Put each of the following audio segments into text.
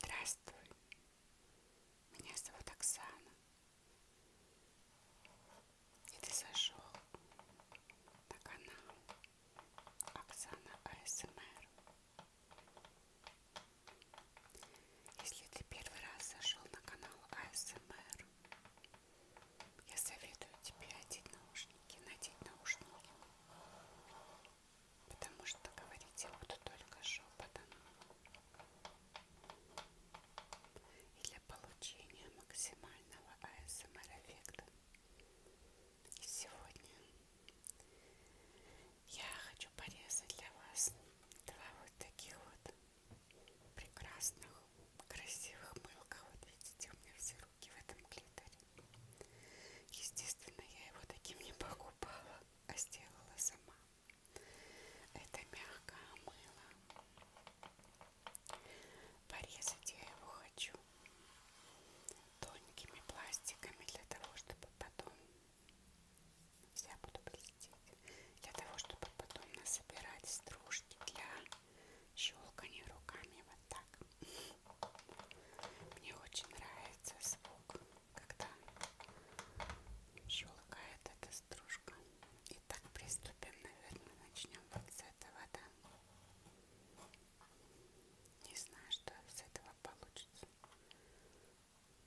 Здравствуй, меня зовут Оксана. И ты зашел на канал Оксана АСМР. Если ты первый раз зашел на канал АСМР, я советую тебе одеть наушники, надеть наушники потому что говорить я буду только шепотом. И для получения максимального АСМР эффекта. И сегодня я хочу порезать для вас два вот таких вот прекрасных, красивых мылка. Вот видите, у меня все руки в этом клиторе. Естественно, я его таким не покупала, а сделала сама. Это мягкое мыло. Порезать я его хочу тоненькими пластиками для того, чтобы потом я буду блестеть. Для того, чтобы потом насобирать стружки для щелкания руками вот так. Мне очень нравится звук, когда шелкает эта стружка. Итак, приступим, наверное, начнем вот с этого, да? Не знаю, что из этого получится.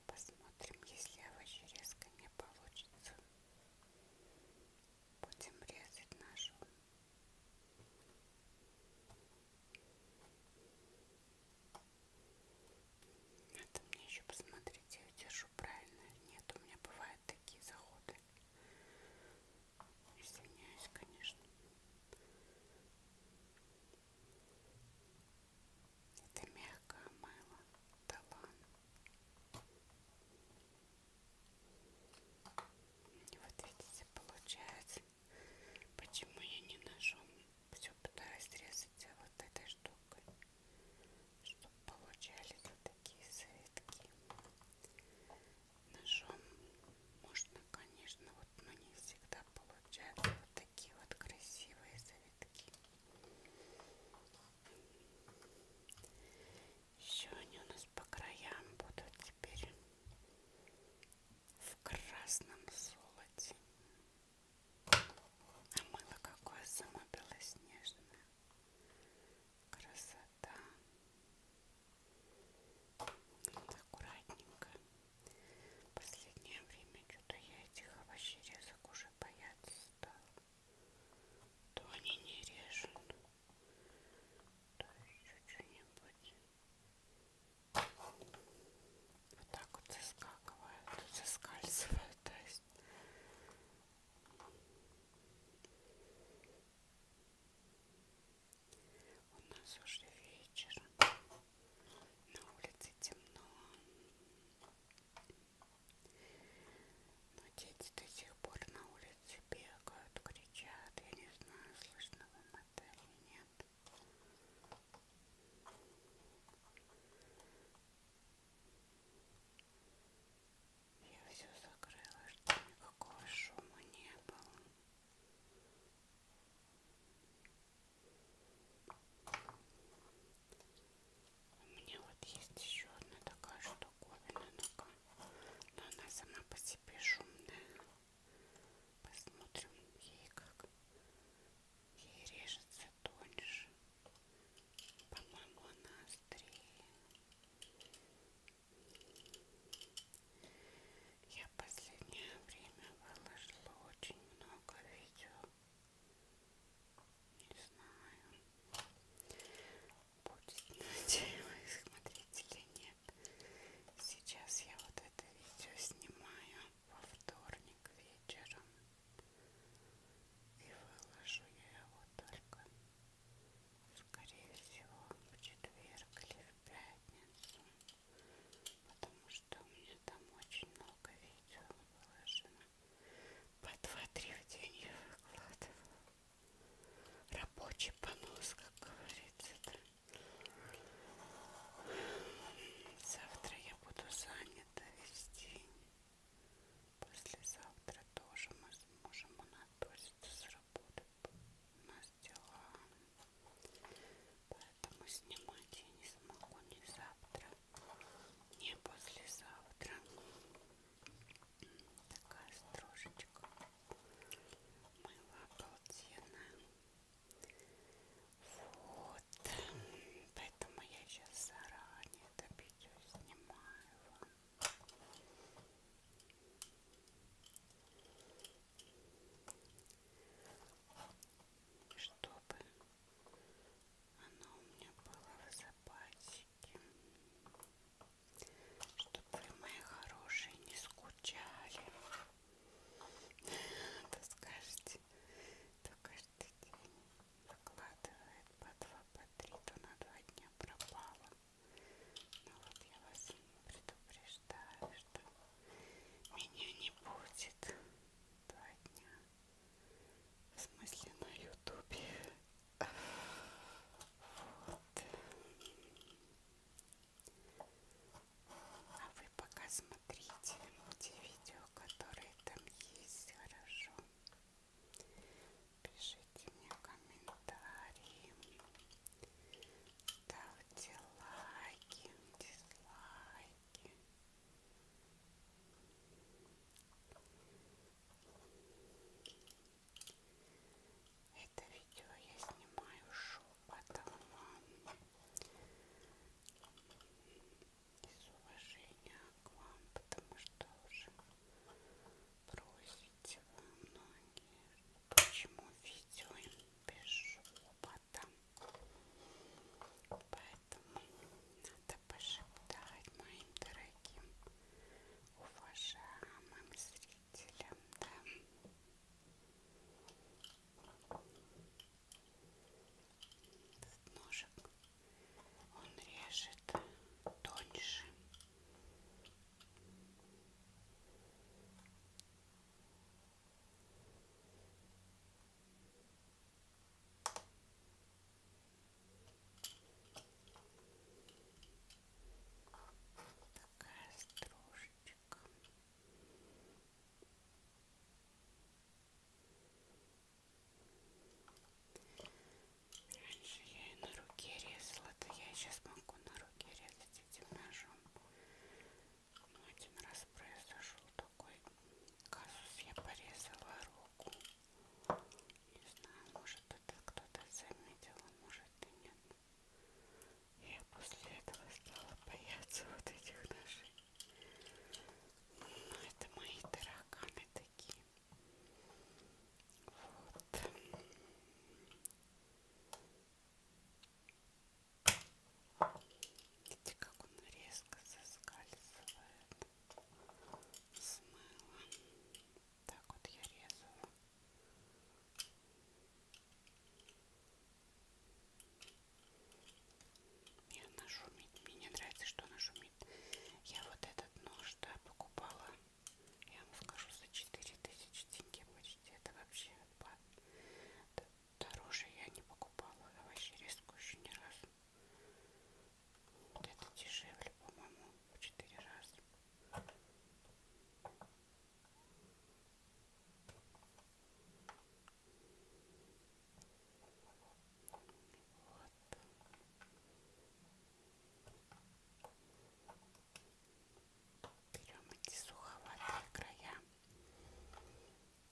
Посмотрим, если овощерезка не получится. Будем резать нашу надо мне еще посмотреть, я ее держу правильно или нет. У меня бывают такие заходы. Извиняюсь, конечно. Это мягкое мыло. Талан. Вот видите, получается Почему я не ножом все пытаюсь резать вот этой штукой, чтобы получались вот такие завитки. Ножом можно, конечно, вот, но не всегда получаются вот такие вот красивые завитки. Еще они у нас по краям будут теперь в красном золоте. А мыло какое само белоснежное. Красота. Вот аккуратненько. Последнее время что-то я этих овощей резок уже бояться стала. То они не режут, то еще что-нибудь. Вот так вот заскакивает, заскальзывает, то есть. У нас уже вечер. На улице темно. Но дети до сих пор на улице бегают, кричат. Я не знаю, слышно вам это или нет. Я все закрыла, чтобы никакого шума не было. У меня вот есть еще одна такая штуковина, но она сама по себе шумная. Посмотрим ей как. Ей режется тоньше. По-моему, она острее. Я в последнее время выложила очень много видео. Не знаю. Будет, надеюсь, смотреть или нет. Сейчас я вот это видео снимаю во вторник вечером и выложу я его только, скорее всего, в четверг или в пятницу, потому что у меня там очень много видео выложено. По два-три в день я выкладывала. Рабочий понос, как говорится, да. Завтра я буду занята весь день. Послезавтра тоже мы сможем отпуститься с работы. У нас дела. Поэтому снимать я не смогу ни завтра, ни послезавтра. Такая строжечка. Мыло обалденное. Вот. Поэтому я сейчас заранее это видео снимаю вам. Чтобы оно у меня было в запасике. Вот чтобы вы, мои хорошие, не скучали. То скажете, то каждый день выкладывает по два, по три, то на два дня пропало. Но ну вот я вас предупреждаю, что меня не будет два дня. В смысле на ютубе. Вот. А вы пока смотрите те видео, которые там есть, хорошо? Пишите мне комментарии, ставьте лайки, дизлайки. Это видео я снимаю шепотом из уважения к вам, потому что уже просите вы многие, почему видео без шепота. Поэтому надо пошептать моим дорогим уважаемым зрителям видели, да. Этот ножик, он режет тоньше такая стружечка. Раньше я и на руке резала, да я сейчас могу на руке резать этим ножом. Но один раз произошел такой казус, я порезала руку. Не знаю, может это кто-то заметил, а может и нет. Я после этого стала бояться вот этих наших. Ну, это мои тараканы такие. Вот. Видите, как он резко соскальзывает. Смыло. Так вот я резала. И она шумит. Мне не нравится, что она шумит. Я вот этот нож, да, покупала. Я вам скажу, за 4000 тенге почти. Это вообще отпад. Дороже я не покупала овощерезку еще ни разу. Вот это дешевле, по-моему, в 4 раза. Берем эти суховатые края,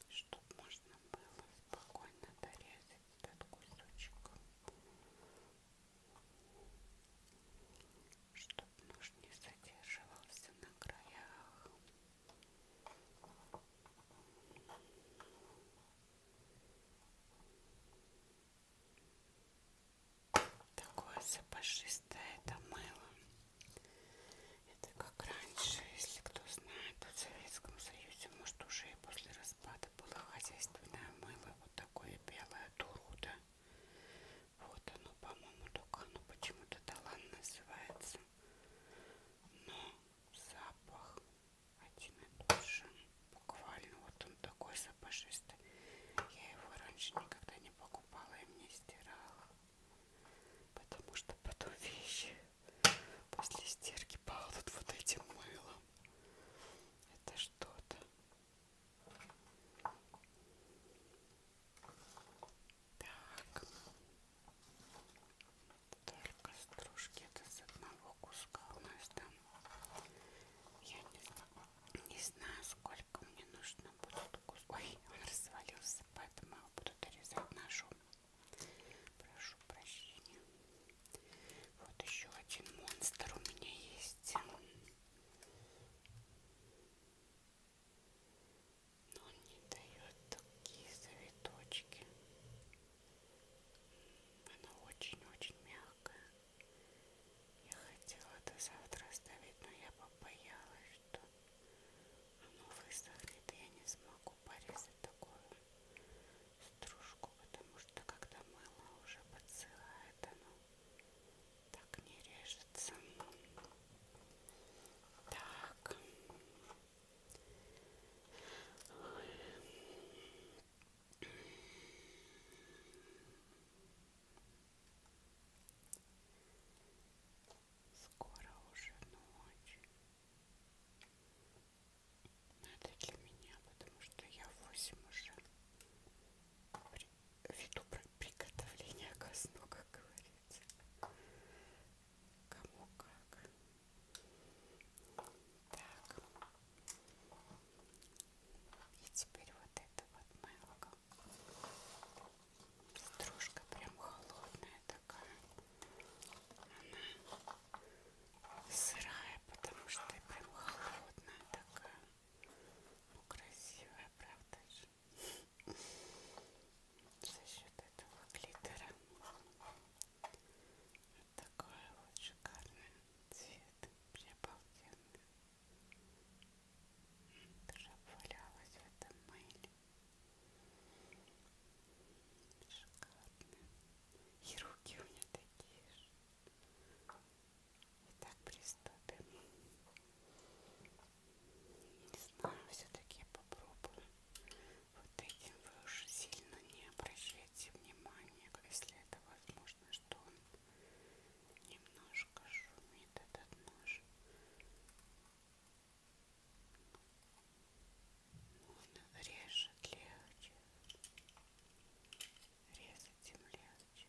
чтобы можно было спокойно дорезать этот кусочек чтобы нож не задерживался на краях. Такое запашистое это мыло. Это как раньше, если кто знает, то в Советском Союзе, может, уже и после распада было хозяйственное мыло, вот такое белое дуруда. Вот оно, по-моему, только оно почему-то талан называется. Но запах один и тот же. Буквально вот он такой запашистый. Я его раньше никогда не покупала и мне стирала. Потому что потом вещи после стирки пахнут вот этим мылом. Это что-то. Так. Только стружки это с одного куска у нас там. Я не знаю, не знаю сколько мне нужно будет кус... Ой, он развалился, поэтому я его буду дорезать ножом. Прошу прощения. Вот еще один монстр у меня есть. Но он не дает такие завиточки. Она очень-очень мягкая. Я хотела до завтра оставить, но я побоялась, что оно высохнет, и я не смогу порезать такую стружку, потому что когда мыло уже подсыхает, оно так не режется. Так. Ой. Скоро уже ночь. Надо для меня, потому что я восемь уже виду приготовления ко сну, как говорится. Кому как. Так. И теперь вот это вот мелко. Стружка прям холодная такая. Она сырая, потому что прям холодная такая. Ну, красивая, правда же? За счет этого глиттера. Вот такой вот шикарный цвет. Приобалденный. Даже обвалялась в этом мыле. Шикарно. И руки у меня такие же. Итак, приступим. Не знаю, все-таки я попробую. Вот этим вы уже сильно не обращайте внимания, если это возможно, что он немножко шумит этот нож. Он режет легче резать земляночек.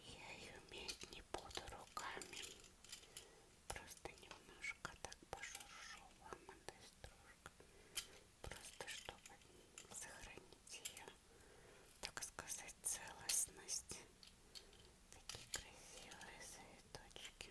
Я ее уметь не буду руками, просто немножко так пошуршу вам этой стружкой, просто чтобы сохранить ее, так сказать, целостность. Такие красивые цветочки.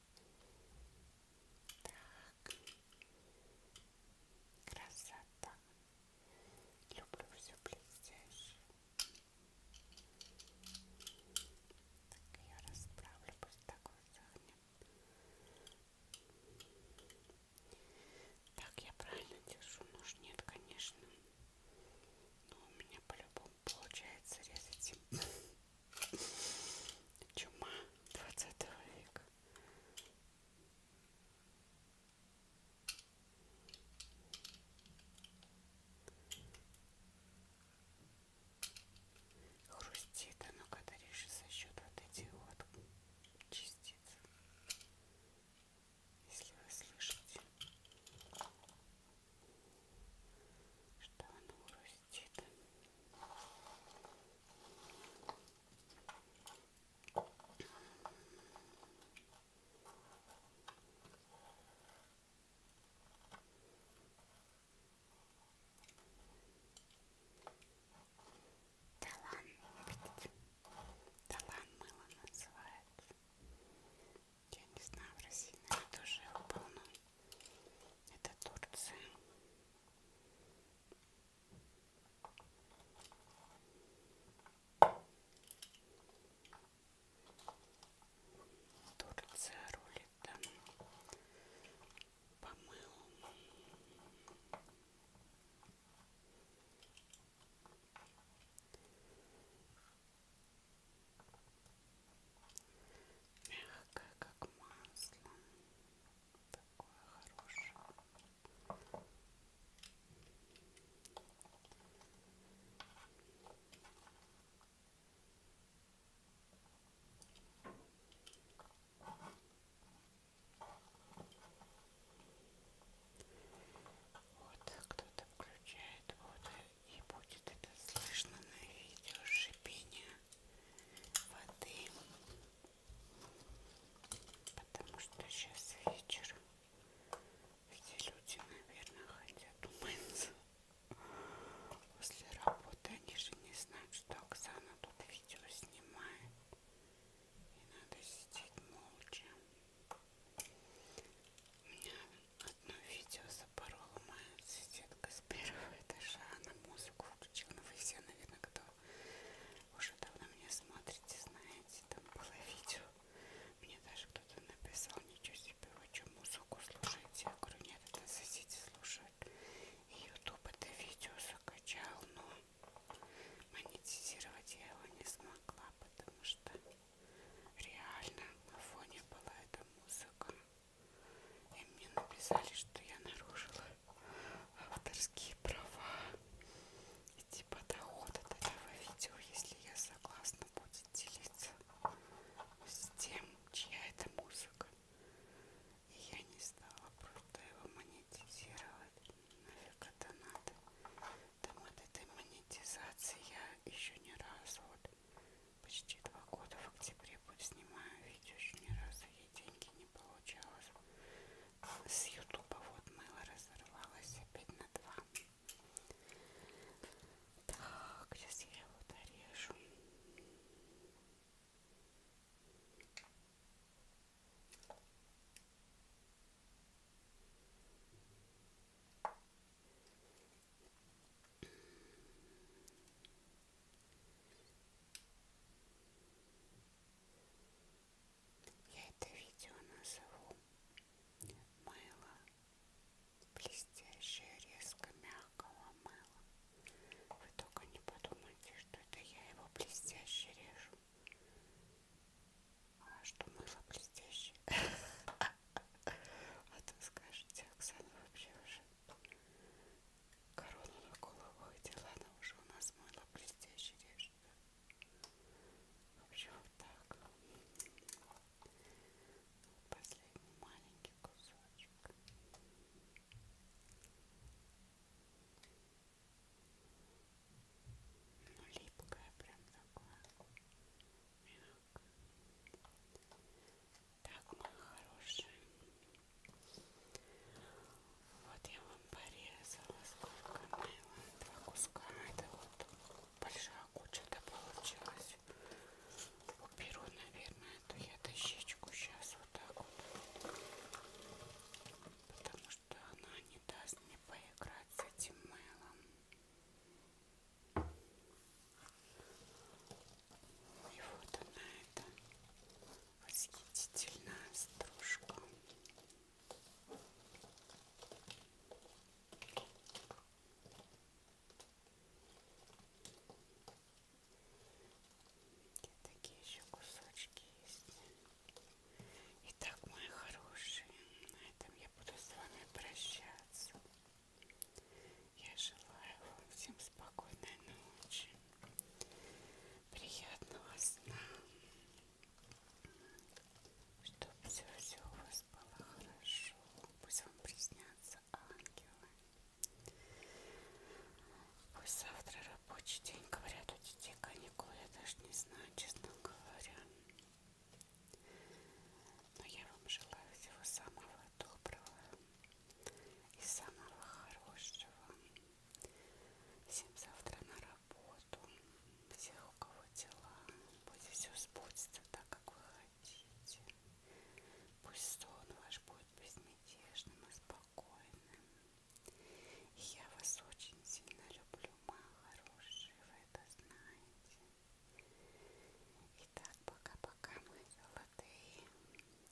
Так. Красота. Люблю все блестящее. Так я расправлю, пусть так высохнет. Так, я правильно держу нож? Нет, конечно. Но у меня по-любому получается резать. Чума 20 века. Хрустит оно, когда режешь за счет вот этих вот частиц. Если вы слышите, что оно хрустит где это? Талан, видите? Талан мыло называется. Я не знаю, в России, наверное, тоже его полно. Это Турция. Турция рулит там. По-моему. Мягкое, как масло. Такое хорошее. Вот кто-то включает воду и будет это слышно на видео шипение воды. Потому что сейчас вечер. Все люди, наверное, хотят умыться. После работы они же не знают, что Оксана тут видео снимает. И надо сидеть молча. У меня Одно видео запорола моя соседка с первого этажа. Она музыку включила. Ну, вы все, наверное, кто уже давно меня смотрите, знаете, там было видео. Мне даже кто-то написал, ничего себе, вы что, музыку слушаете? Я говорю, нет, это соседи слушают. И YouTube это видео закачал, но монетизировать я его не смогла, потому что реально на фоне была эта музыка. И мне написали, что я нарушила авторские права и типа доход от этого видео, если я согласна будет делиться с тем, чья это музыка. И я не стала просто его монетизировать. Нафиг это надо. Там от этой монетизации я еще ни разу вот Почти два года в октябре снимаю видео, еще ни разу ей деньги не получалось. С ютуба вот мыло разорвалось опять на два. Так, сейчас я его дорежу. Я это видео назову мыло, блестящее резко мягкого мыла. Вы только не подумайте, что это я его блестяще режу. А что мыло блестящее? А то скажете, Оксана вообще уже корону на голову одела, она уже у нас мыла блестящий режет. Вообще вот так. Последний маленький кусочек. Ну, липкая прям такое. Мягкое. Так, мои хорошие. Вот я вам порезала сколько мыла. Два куска. Это вот большая куча-то получилась. Уберу, наверное, эту я дощечку сейчас вот так вот. Потому что она не даст мне поиграть с этим мылом. И вот она эта восхитительная стружка. И такие еще кусочки есть. Итак, мои хорошие, на этом я буду с вами прощаться. Я желаю вам всем спокойной ночи, приятного сна, чтобы все-все у вас было хорошо, пусть вам приснятся ангелы. Пусть завтра рабочий день, говорят, у детей каникулы, я даже не знаю, честно говоря. Но я вам желаю всего самого доброго и самого хорошего. Всем завтра на работу. Всех, у кого дела, пусть все сбудется так, как вы хотите. Пусть сон ваш будет безмятежным и спокойным. И я вас очень сильно люблю, моя хорошая, вы это знаете. Итак, пока-пока, мои золотые.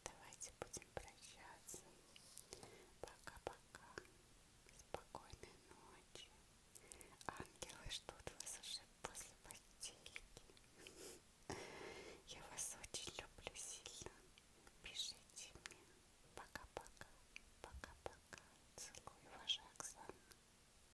Давайте будем прощаться. Пока-пока. Спокойной ночи. Ангелы ждут вас уже после постельки. Я вас очень люблю сильно. Пишите мне. Пока-пока. Пока-пока. Целую, ваша Оксана.